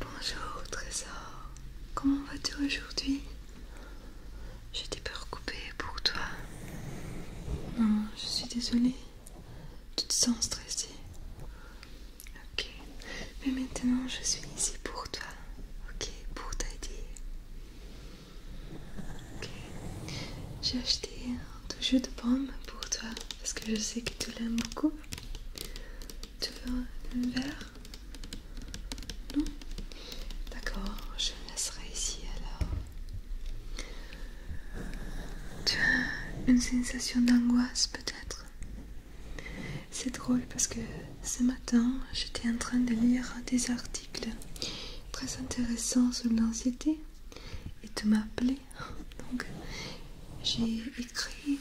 Bonjour Trésor, comment vas-tu aujourd'hui J'ai des peurs coupées pour toi. Non, je suis désolée. Tu te sens stressée. Ok, mais maintenant je suis ici pour toi ok, pour t'aider. Ok, j'ai acheté du jus de pomme pour toi parce que je sais que tu l'aimes beaucoup. Tu veux un verre Non D'accord, je le laisserai ici alors. Tu as une sensation d'angoisse peut-être c'est drôle parce que ce matin, j'étais en train de lire des articles très intéressants sur l'anxiété et tu m'as appelé. Donc, j'ai écrit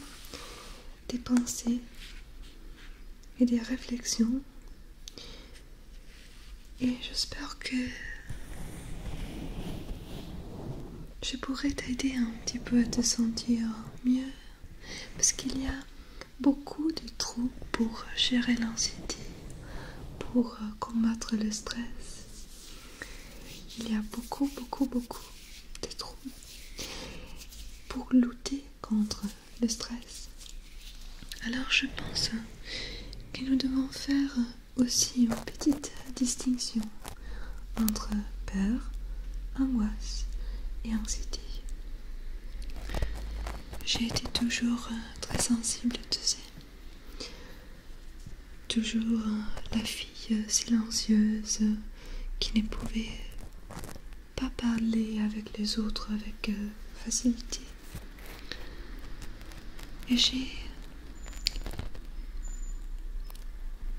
des pensées et des réflexions. Et j'espère que je pourrais t'aider un petit peu à te sentir mieux. Parce qu'il y a beaucoup de trous pour gérer l'anxiété, pour euh, combattre le stress. Il y a beaucoup, beaucoup, beaucoup de trous pour lutter contre le stress. Alors je pense que nous devons faire aussi une petite distinction entre peur, angoisse et anxiété. J'ai été toujours euh, très sensible, tu sais. Toujours euh, la fille euh, silencieuse qui ne pouvait pas parler avec les autres avec facilité. Et j'ai.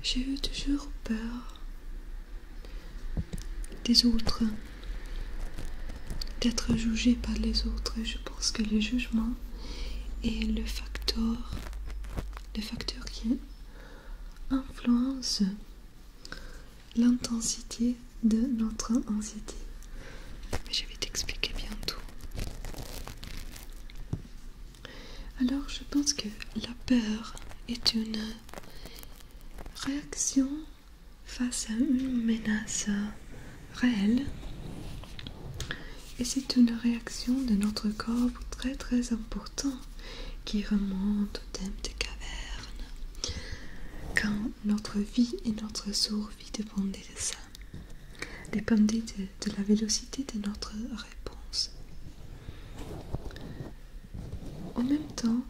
J'ai eu toujours peur des autres, d'être jugé par les autres. Je pense que le jugement est le facteur, le facteur qui influence l'intensité de notre anxiété. Mais je vais t'expliquer bientôt. Alors, je pense que la peur est une réaction face à une menace réelle et c'est une réaction de notre corps très très important qui remonte au thème des cavernes quand notre vie et notre survie dépendent de ça dépendent de, de la vélocité de notre réponse en même temps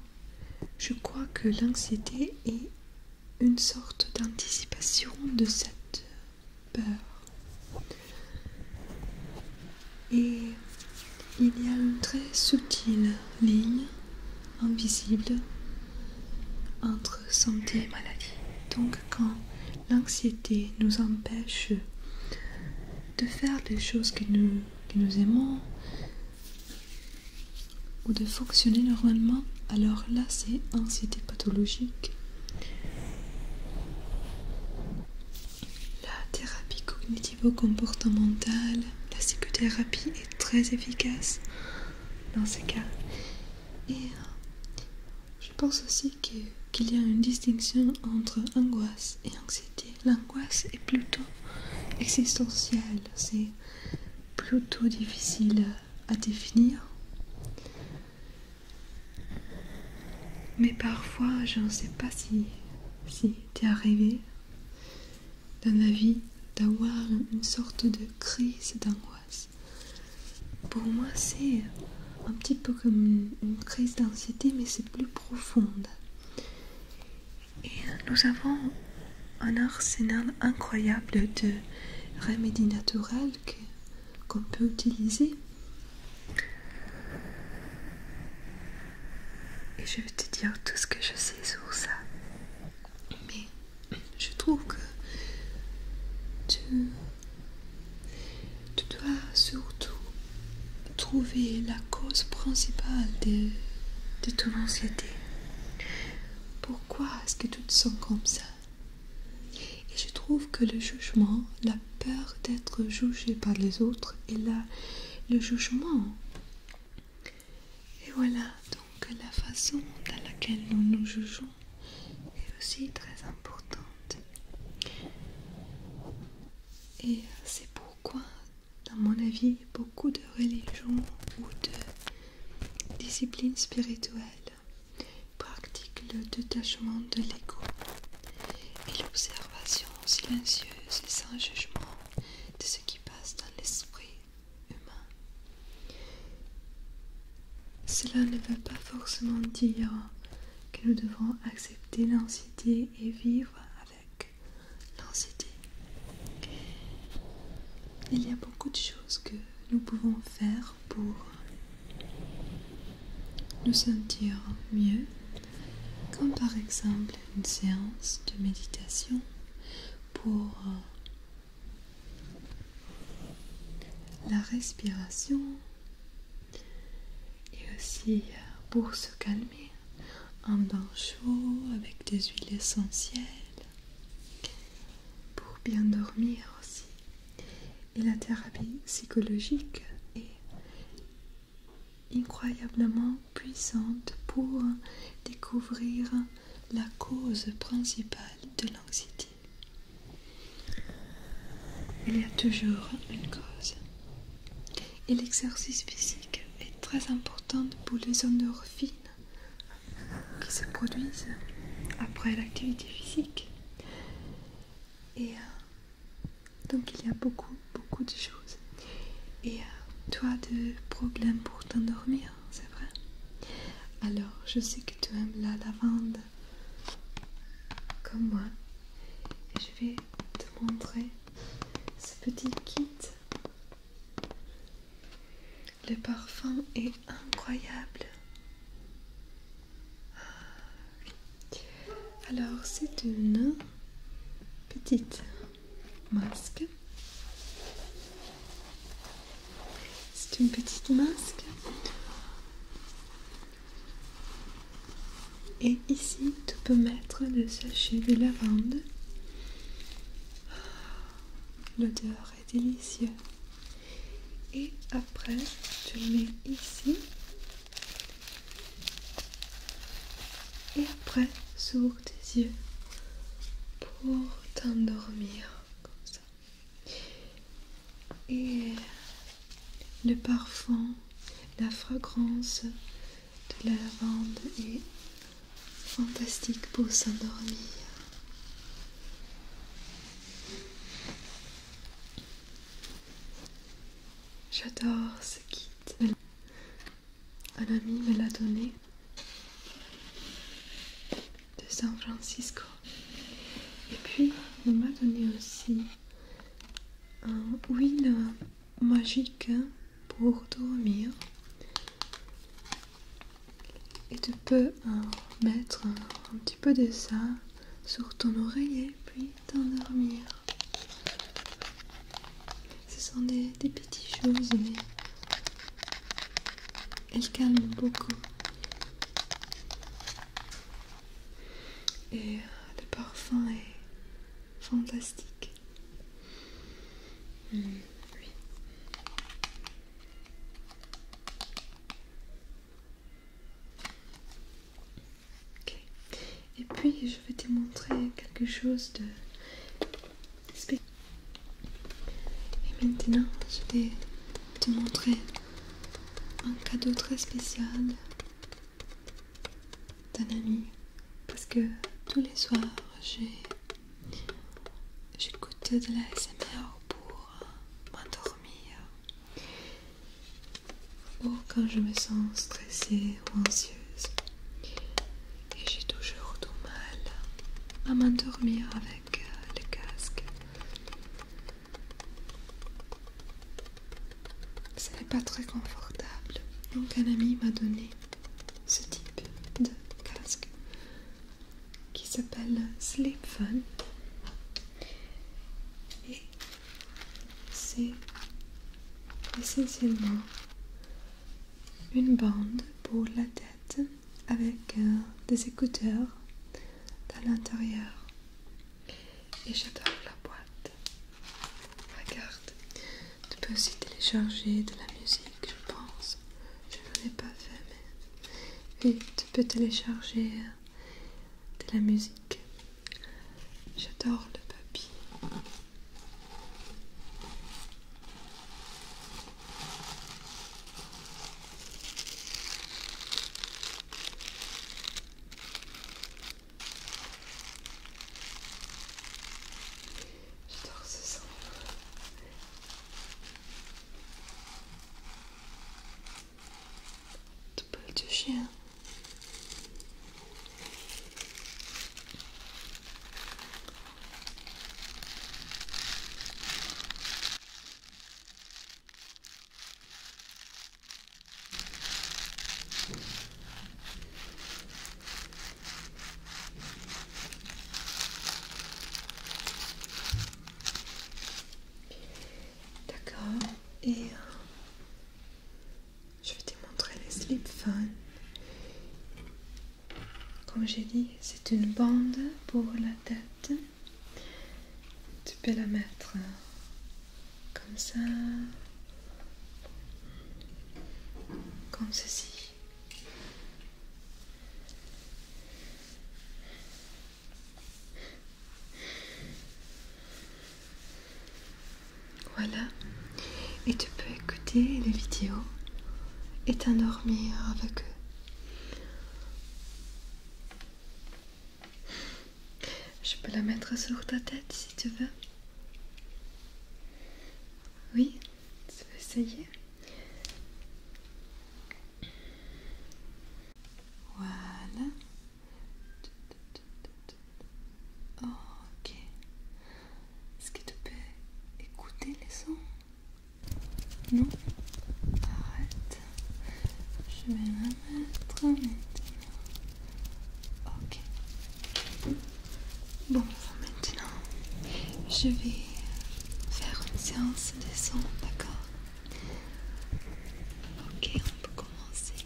je crois que l'anxiété est une sorte d'anticipation de cette peur. Et il y a une très subtile ligne invisible entre santé et maladie. Donc quand l'anxiété nous empêche de faire des choses que que nous aimons, ou de fonctionner normalement, alors là c'est anxiété pathologique. La thérapie cognitivo-comportementale, la psychothérapie est très efficace dans ces cas. Et euh, je pense aussi qu'il y a une distinction entre angoisse et anxiété. L'angoisse est plutôt existentielle, c'est plutôt difficile à définir. Mais parfois, je ne sais pas si, si es arrivé dans ma vie d'avoir une sorte de crise d'angoisse. Pour moi, c'est un petit peu comme une crise d'anxiété, mais c'est plus profonde. Et nous avons un arsenal incroyable de remèdes naturels qu'on peut utiliser. Et je vais te dire tout ce que je sais sur ça. Mais je trouve que tu, tu dois surtout trouver la cause principale de, toute l'anxiété Pourquoi est-ce que tout sont comme ça Et je trouve que le jugement, la peur d'être jugé par les autres et là le jugement. Et voilà, donc la façon dans laquelle nous nous jugeons est aussi très importante. Et c'est pourquoi dans mon avis, beaucoup de religions ou de disciplines spirituelles pratiquent le détachement de l'ego et l'observation silencieuse et sans jugement de ce qui passe dans l'esprit humain. Cela ne veut pas forcément dire que nous devons accepter l'anxiété et vivre avec l'anxiété. Il y a beaucoup de choses que nous pouvons faire pour nous sentir mieux, comme par exemple une séance de méditation pour euh, la respiration et aussi euh, pour se calmer en dents chaud avec des huiles essentielles pour bien dormir aussi. Et la thérapie psychologique est incroyablement puissante pour découvrir la cause principale de l'anxiété. Il y a toujours une cause. Et l'exercice physique est très important pour les endorphines qui se produisent après l'activité physique. Et euh, donc il y a beaucoup, beaucoup de choses. Et euh, tu toi, de problèmes pour t'endormir, c'est vrai Alors, je sais que tu aimes la lavande comme moi. Et je vais te montrer ce petit kit le parfum est incroyable. Ah, Alors c'est une petite masque. C'est une petite masque. Et ici, tu peux mettre le sachet de lavande. Oh, l'odeur est délicieuse. Et après, tu le mets ici. Et après, s'ouvre tes yeux pour t'endormir comme ça. Et le parfum, la fragrance de la lavande est fantastique pour s'endormir. J'adore ce kit. Un ami me l'a donné de San Francisco. Et puis, il m'a donné aussi un huile magique pour dormir et tu peux euh, mettre un, petit peu de ça sur ton oreiller puis t'endormir ce sont des, des petites choses mais elles calment beaucoup et euh, le parfum est fantastique. Hmm, Et puis je vais te montrer quelque chose de spécial. Et maintenant je vais te montrer un cadeau très spécial d'un ami parce que tous les soirs j'écoute de la SMR pour euh, m'endormir ou quand je me sens stressée ou anxieuse et j'ai toujours du mal à m'endormir avec euh, le casque. Ce n'est pas très confortable. Donc un ami m'a donné ce type de casque qui s'appelle Fun et c'est essentiellement une bande pour la tête avec euh, des écouteurs à l'intérieur et j'adore la boîte Regarde, tu peux aussi télécharger de la musique, je pense. Je ne l'ai pas fait, mais oui, tu peux télécharger euh, de la musique. J'adore le papier. J'adore ce son. de chien. D'accord, et euh, je vais te montrer les slip fun. Comme j'ai dit, c'est une bande pour la tête. Tu peux la mettre euh, comme ça, comme ceci. Voilà, et tu peux écouter les vidéos et t'endormir avec eux. Je peux la mettre sur ta tête si tu veux. Oui ça veux essayer. Voilà. Ok. Est-ce que tu peux écouter les sons Non Arrête. Je vais la mettre maintenant. Ok. Bon, maintenant, je vais faire une séance de son, d'accord Ok, on peut commencer.